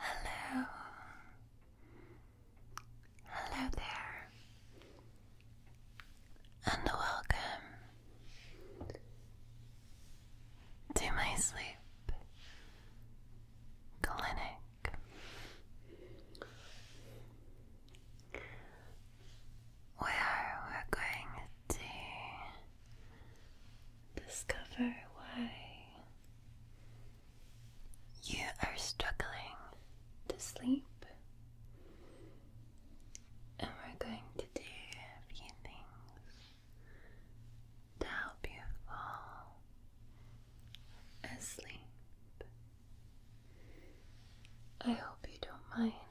Hello. Hello there. And welcome to my sleep clinic. Where we're going to discover why you are struggling to sleep, and we're going to do a few things to help you fall asleep. I hope you don't mind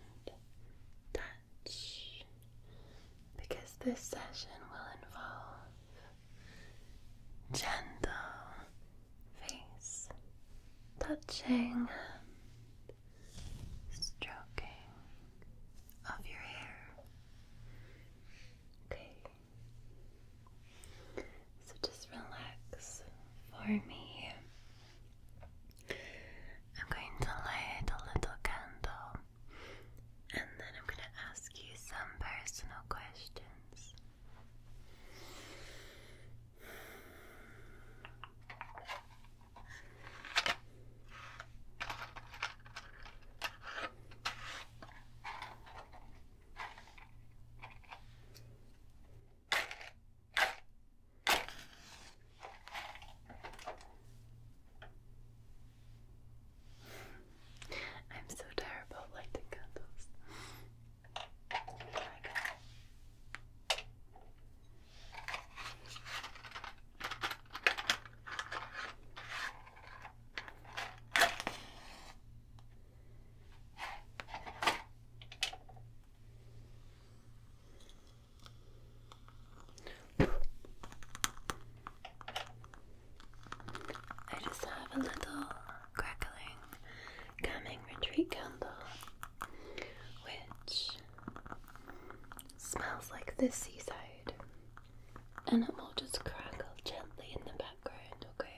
touch because this session will involve gentle face touching stroking of your hair. Okay. So just relax for me. I'm going to light a little candle and then I'm going to ask you some personal questions. I'm so terrible at lighting candles. Oh I just have a little crackling calming retreat candle which smells like the seaside and it will just crackle gently in the background, okay?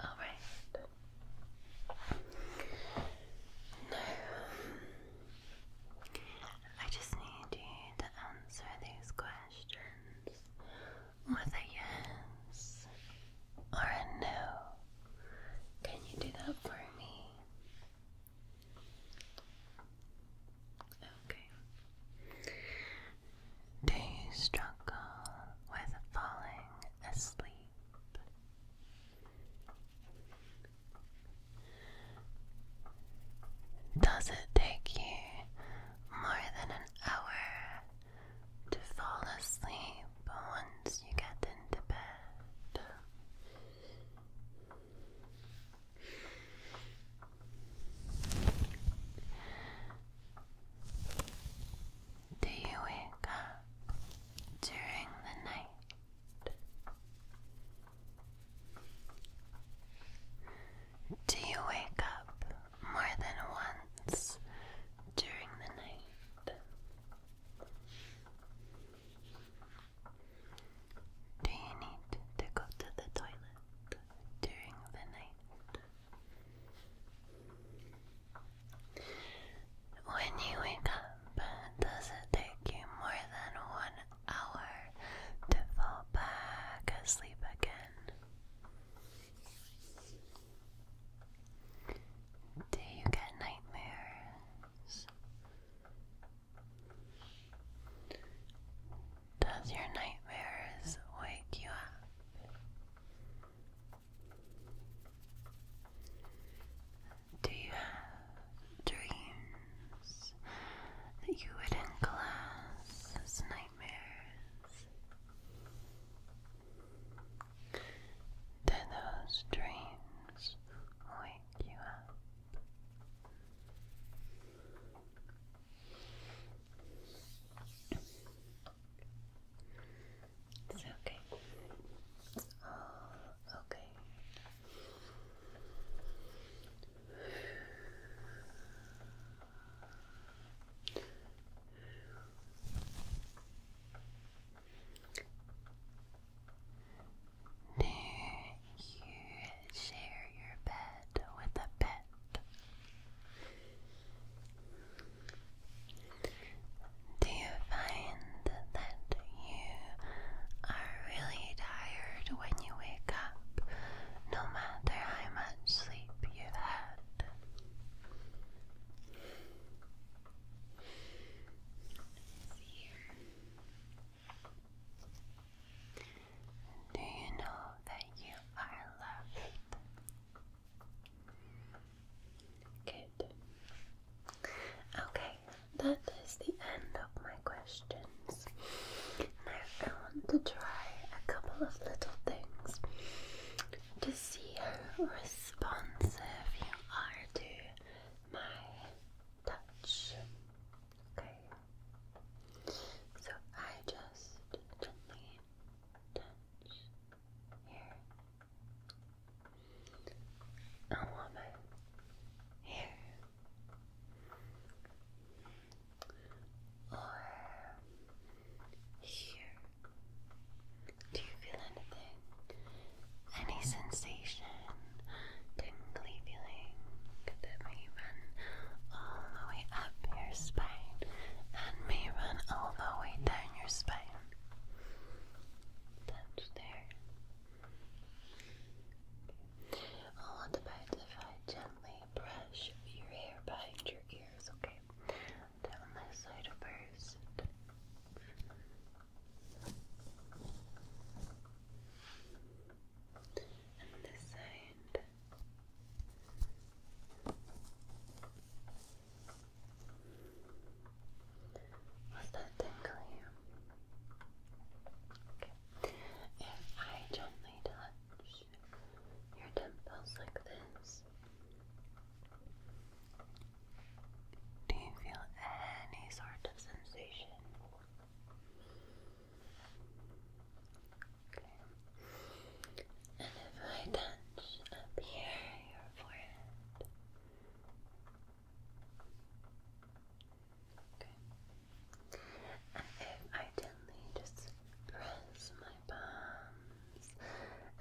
All right. Now, I just need you to answer these questions with a yes or a no. Can you do that for me? Okay. Do you struggle with falling asleep? Does it take you more than an hour to fall asleep once you get into bed? Do you wake up during the night? Do you wake up more than once during the night? Do you need to go to the toilet during the night? When you wake up, does it take you more than one hour to fall back asleep again? Do you get nightmares? Does your nightmares wake you up? Do you have dreams that you wouldn't class as nightmares? Do those dreams wake you up? It's okay. All oh, okay. Do you share your bed with a pet? Do you find that you are really tired when you wake up, no matter how much sleep you've had? Do you know that you are loved? Good. Okay, that is the end of my questions. Now I want to try a couple of little things to see how responsive you are to my touch. Okay. So I just gently touch here, a woman here, or here. Do you feel anything? Any sensation, tingly feeling that may run all the way up your spine and may run all the way down your spine? That's there. Okay. Oh, what about gently brush your hair behind your ears, okay? Down this side first. And this side. Was that tingly? Okay. If I gently touch your temples like this, do you feel any sort of sensation? if I touch touch up here, your forehead. Okay. if I gently just press my palms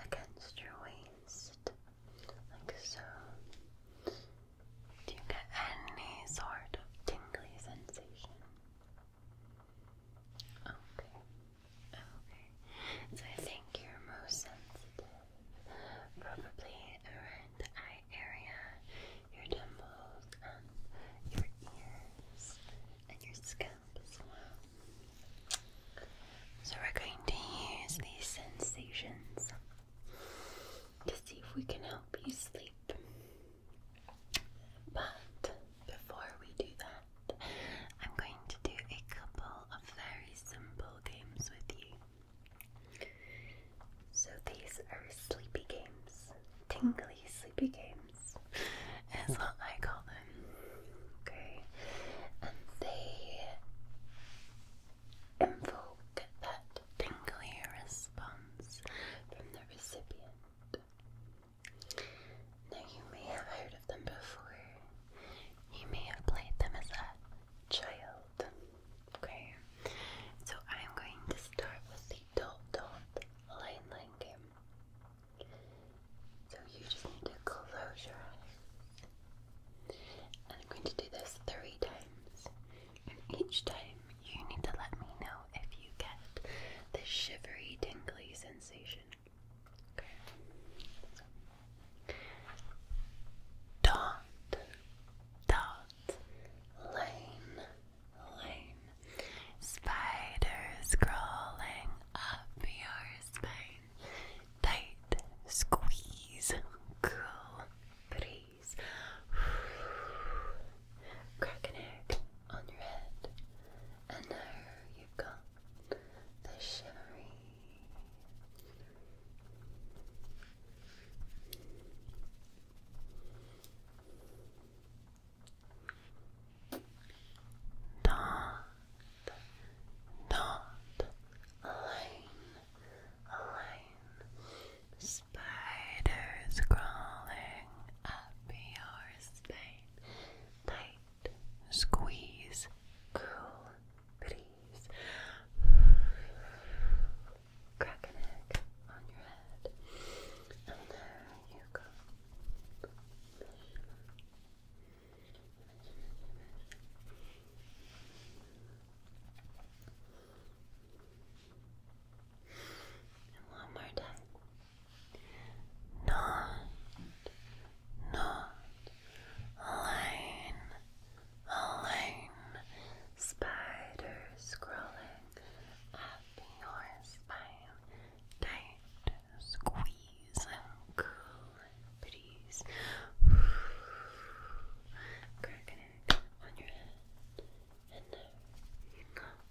against your waist, like so, do you get any sort of tingly sensation? Okay. Okay, so I think you're most sensitive probably around the eye area, your temples, your ears, and your scalp as well. So we're going to use these sensations to see if we can help you sleep. But before we do that, I'm going to do a couple of very simple games with you. So these are sleepy games, tingly sleepy games, is what I call them. Okay, and they invoke that tingly response from the recipient. Now, you may have heard of them before. You may have played them as a child. Okay, so I'm going to start with the dot dot line game. So you just need to close your eyes. And I'm going to do this three times. And each time you need to let me know if you get the shivery, tingly sensation. Dot, dot, lane, lane. Spiders crawling up your spine. Tight, squeeze, cool breeze. Crack an egg on your head. And there you've got the shimmery not, not alone, alone. Spiders crawling up your spine, squeeze, cool breeze, crack an egg on your head, and there you go. And one more time. Not not alone, alone. Spiders crawling up your spine, tight squeeze cool breeze. Crack an egg on your head, and no, you not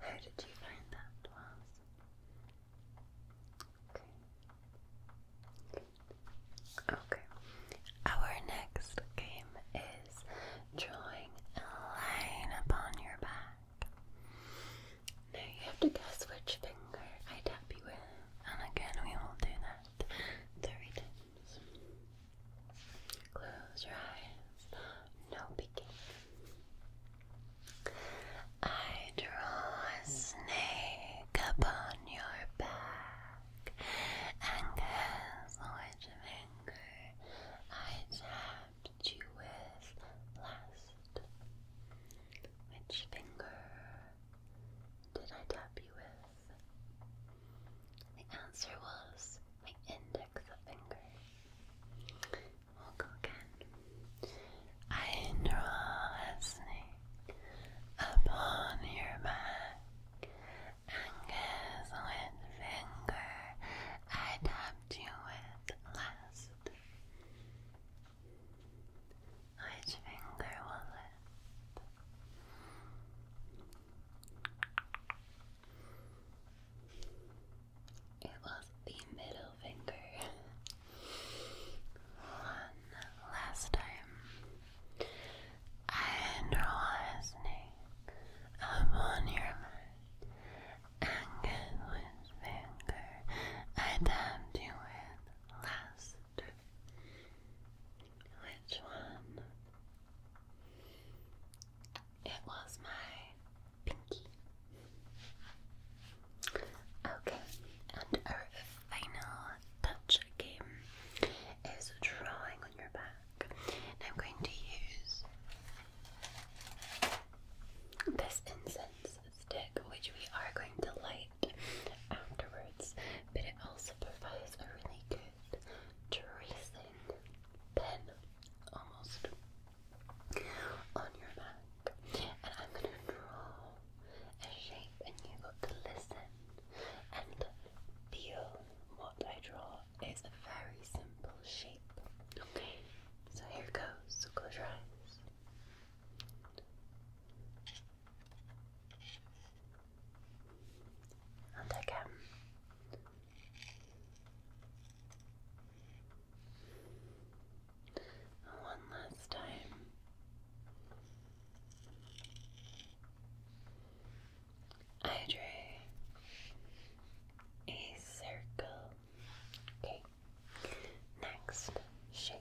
how did you find that was? Okay. Okay. Our next game is drawing a line upon your back. Now you have to guess which finger I tap you with, and again we will do that three times. Close your eyes. No peeking. I draw a snake upon your back and guess which finger I tapped you with last. Which finger did I tap you with? The answer was my index finger. I draw a snake upon your back, and guess finger I tapped you with last. Which finger was it? It was the middle finger. One last time. And relax upon your mind. And which finger I tapped you with last. Which one? It was my pinky. Okay, and our final touch game is drawing on your back. I'm going to use this incense stick, which we are going to light afterwards, but it also provides a really good tracing pen, almost on your back, and I'm going to draw a shape, and you've to listen and feel what I draw. It's a very simple shape. Okay, so here it goes. So close your eyes. And again, one last time. I drew a circle. Okay. Next shape.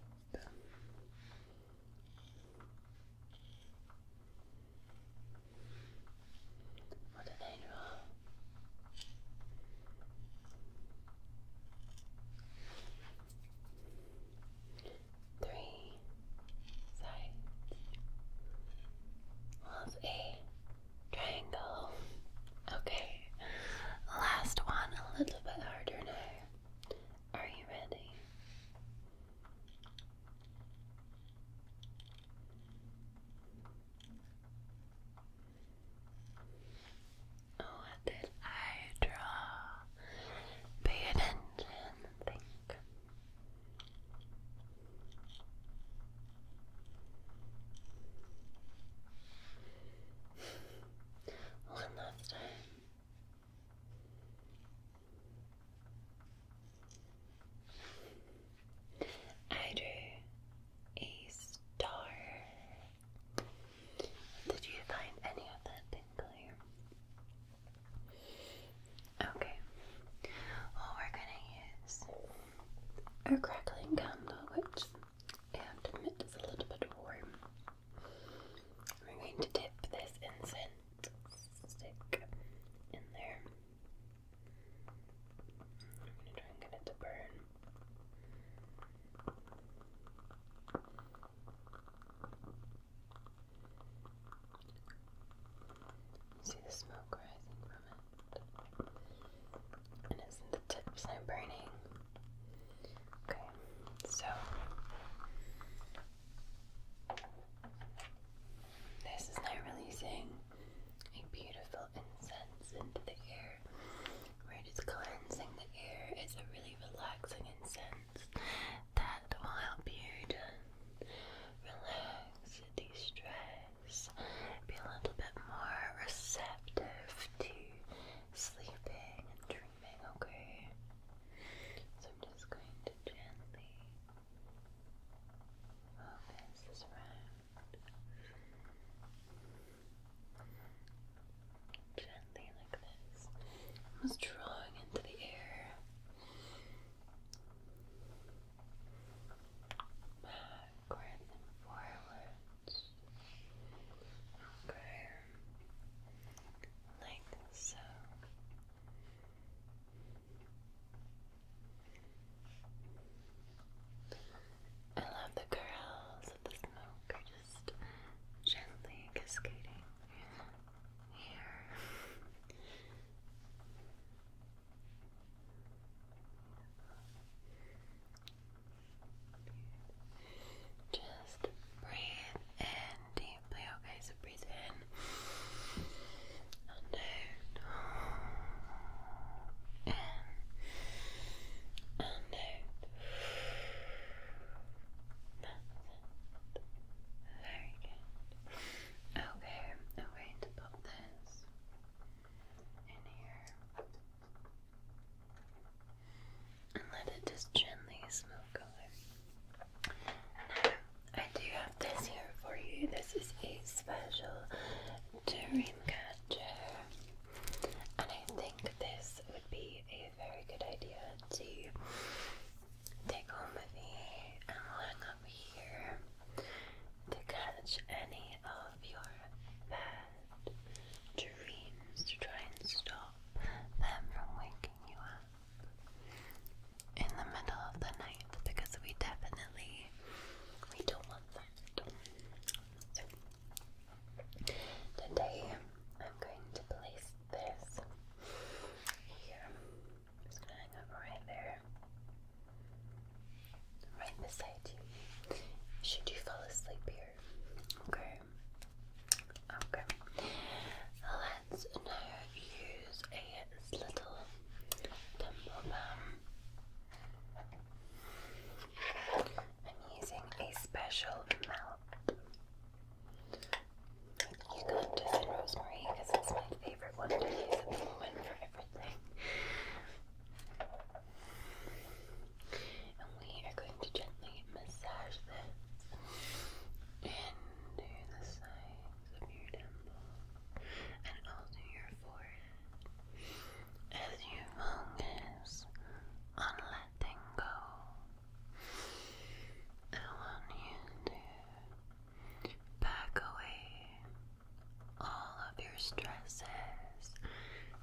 我的内容。Three sides of a triangle. Okay, last one, a little bit harder now. Are you ready? What did I draw? Pay attention think. One last time. I drew a star. Did you find any of that tinkling? Okay. Well, we're gonna use our crackling candle, which is a little bit warm. We're going to dip this incense stick in there. I'm gonna try and get it to burn. See the smoke rising from it. And isn't the tips now burning? Okay, so this is now releasing a beautiful incense into the air. Right, it's cleansing the air. It's a really relaxing incense that will help you to relax, de stress, be a little bit more receptive to sleeping and dreaming, okay? So I'm just going to gently focus this around. Gently, like this. Almost drawing into the air. Backwards and forwards. Okay. Like so. I love the curls of the smoke are just gently cascading here. Just breathe in deeply, okay? So breathe in and out. That's Very good. Okay, I'm going to pop this in here and let it just gently smoke over. Now, I do have this here for you. This is a special dream catcher. And I think this would be a very good idea to take home with me and hang up here to catch any of your bad dreams to try and stop them from waking you up in the middle of the night because we definitely we don't want that. Today I'm going to place this here. i gonna hang up right there. Right beside you. Should you fall asleep here? Okay. Okay. Let's now use a little temple I'm using a special melt. Eucalyptus and rosemary because it's my favorite one to use the moment for everything. And we are going to gently massage this into the sides of your temple and also your forehead as you focus on letting go. I want you to back away all of your stresses,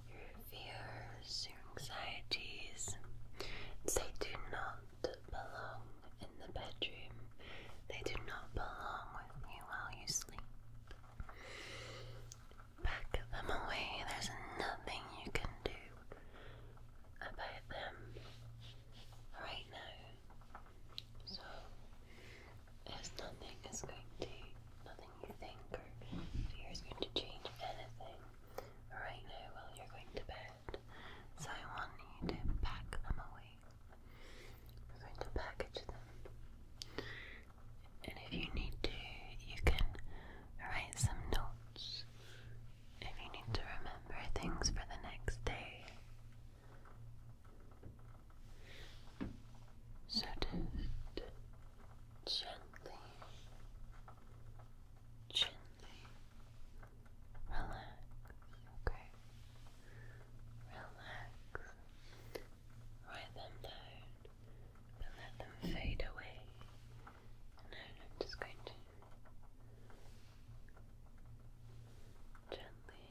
your fears, your anxieties. They do not belong in the bedroom. They do not belong with you while you sleep. Pack them away. There's nothing you can do about them right now. So there's nothing is going to nothing you think or fear is going to change anything right now while you're going to bed. So I want you to pack them away. We're going to package them and if you need to, you can write some notes if you need to remember things for the next day. So just gently, gently relax, okay? Relax, write them down let them fade away. And I'm just going to gently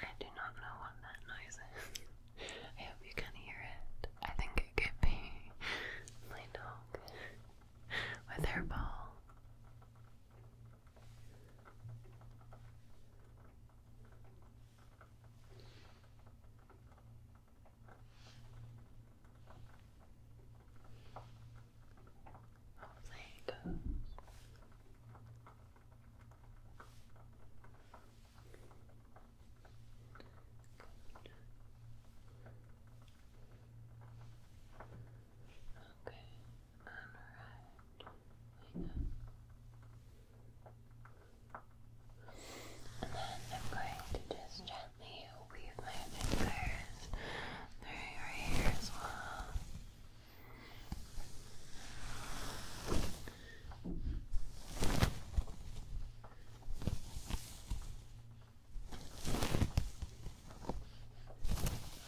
I do not know what that noise is. I hope you can hear it. I think it could be my dog with her ball. There Okay and then I'm going to just gently weave my fingers through your hair as well.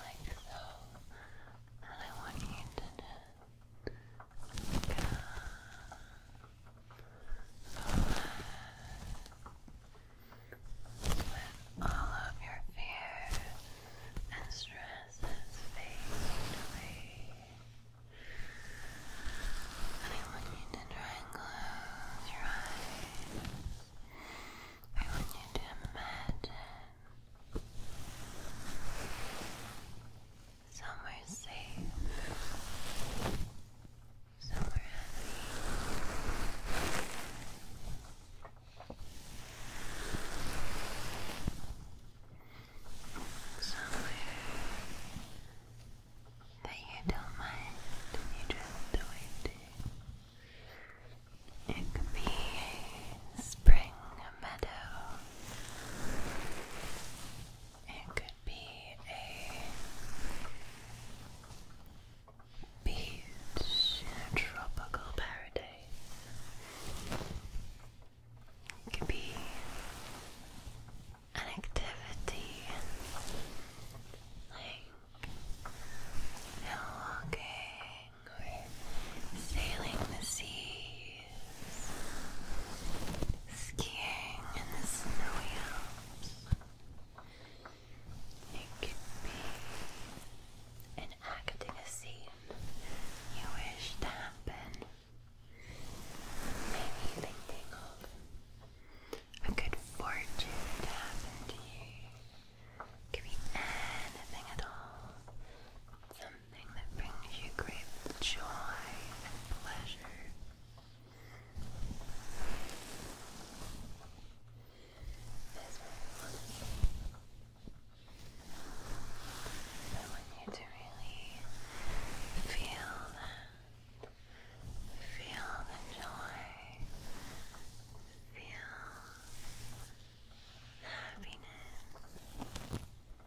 Like so, and I want you to let all of your fear and stresses fade away. I want you to try and close your eyes. I want you to imagine Somewhere safe, somewhere happy. Somewhere that you don't mind, you drift away to. It could be spring it could be a beach tropical paradise. It could be an activity like hill or sailing the sea skiing in the snowy Alps. It could be enacting a scene you wish to happen. Maybe thinking of a good fortune to happen to you. could be anything at all that brings you great joy and pleasure. I want. you to really feel that. Feel the joy. Feel happiness. We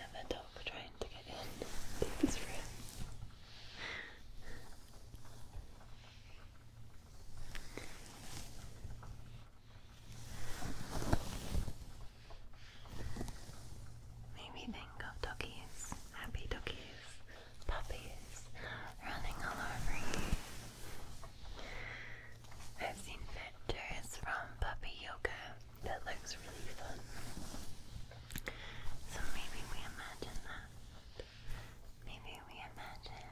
have a dog trying to get in this room. Maybe think of doggies, happy doggies, puppies running all over you. I've seen pictures from puppy yoga that looks really fun. So maybe we imagine that. Maybe we imagine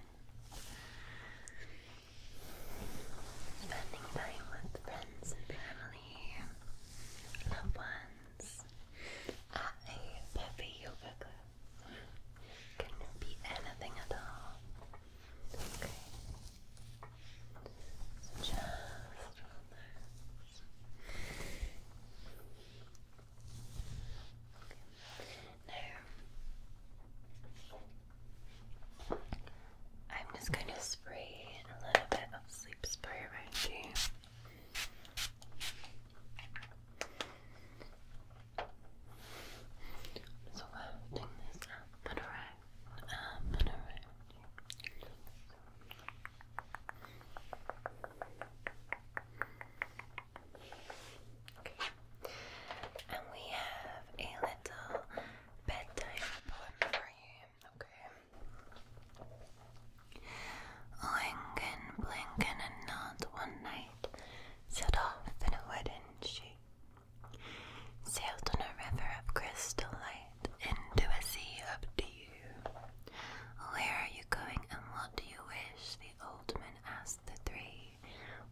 Spending time with friends and family, loved ones, at a puppy yoga club can be anything at all. Okay. just Okay. Now, I'm just going to spray a little bit of sleep spray right here. So wafting this up and around, up and around. Okay. And we have a little bedtime poem for you, okay? Lincoln, blinking, and not one night set off in a wooden sheet, sailed on a river of crystal light into a sea of dew. Where are you going and what do you wish? The old man asked the three.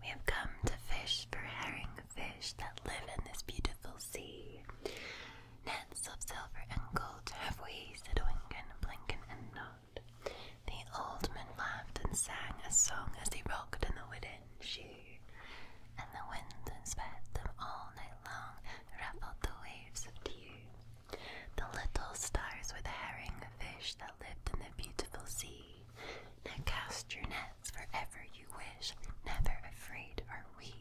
We have come to fish for herring fish that live in this beautiful sea. Nets of silver and gold have we, said Winkin, Blinkin, and Nod. The old man laughed and sang a song as he rocked in the wooden shoe, and the wind and sped them all night long, ruffled the waves of dew. The little stars were the herring fish that lived in the beautiful sea, now cast your nets wherever you wish, never afraid are we.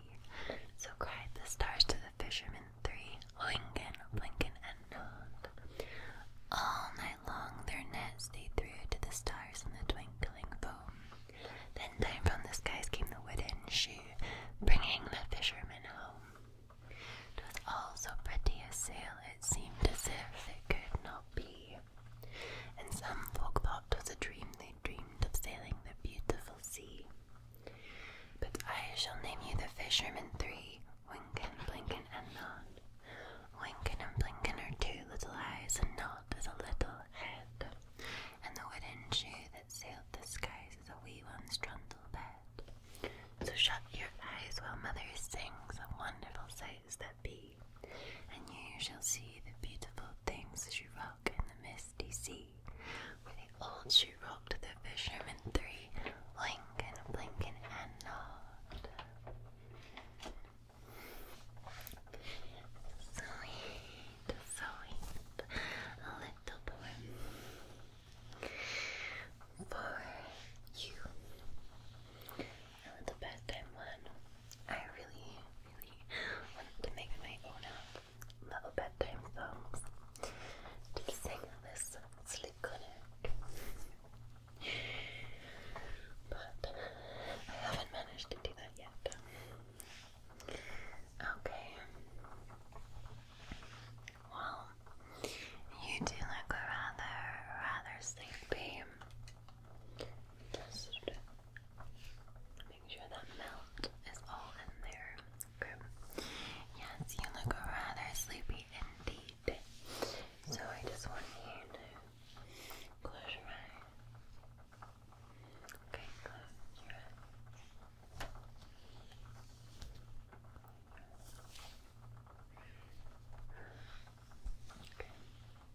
So cried the stars to the fishermen three, Lincoln, Lincoln, and Nod. All night long their nets they threw to the stars in the twinkling foam. Then down from the skies came the wooden shoe, bringing the fishermen home. home. 'Twas all so pretty a sail, it seemed as if it could not be and some folk was a dream they dreamed of sailing the beautiful sea. But I shall name you the fisherman three, Winkin, Blinkin, and Nod. Winkin and Blinkin are two little eyes, and Nod is a little head, and the wooden shoe that sailed the skies is a wee one's trundle bed. So shut your eyes while mother sings a wonderful sight and you shall see the beautiful things she rocked in the misty sea, where the old she rocked the fishermen three, Lincoln, Blinkin, and Nod. Sweet, sweet, little poem for you. And the bedtime one, I really, really want to make my own up little bedtime songs to sing this sleep connect. But I haven't managed to do that yet. Okay. Well, you do look rather, rather sleepy. Make sure that melt is all in there. Yes, you look rather sleepy indeed. So I just want you to close your eyes. Okay, close your eyes. Okay.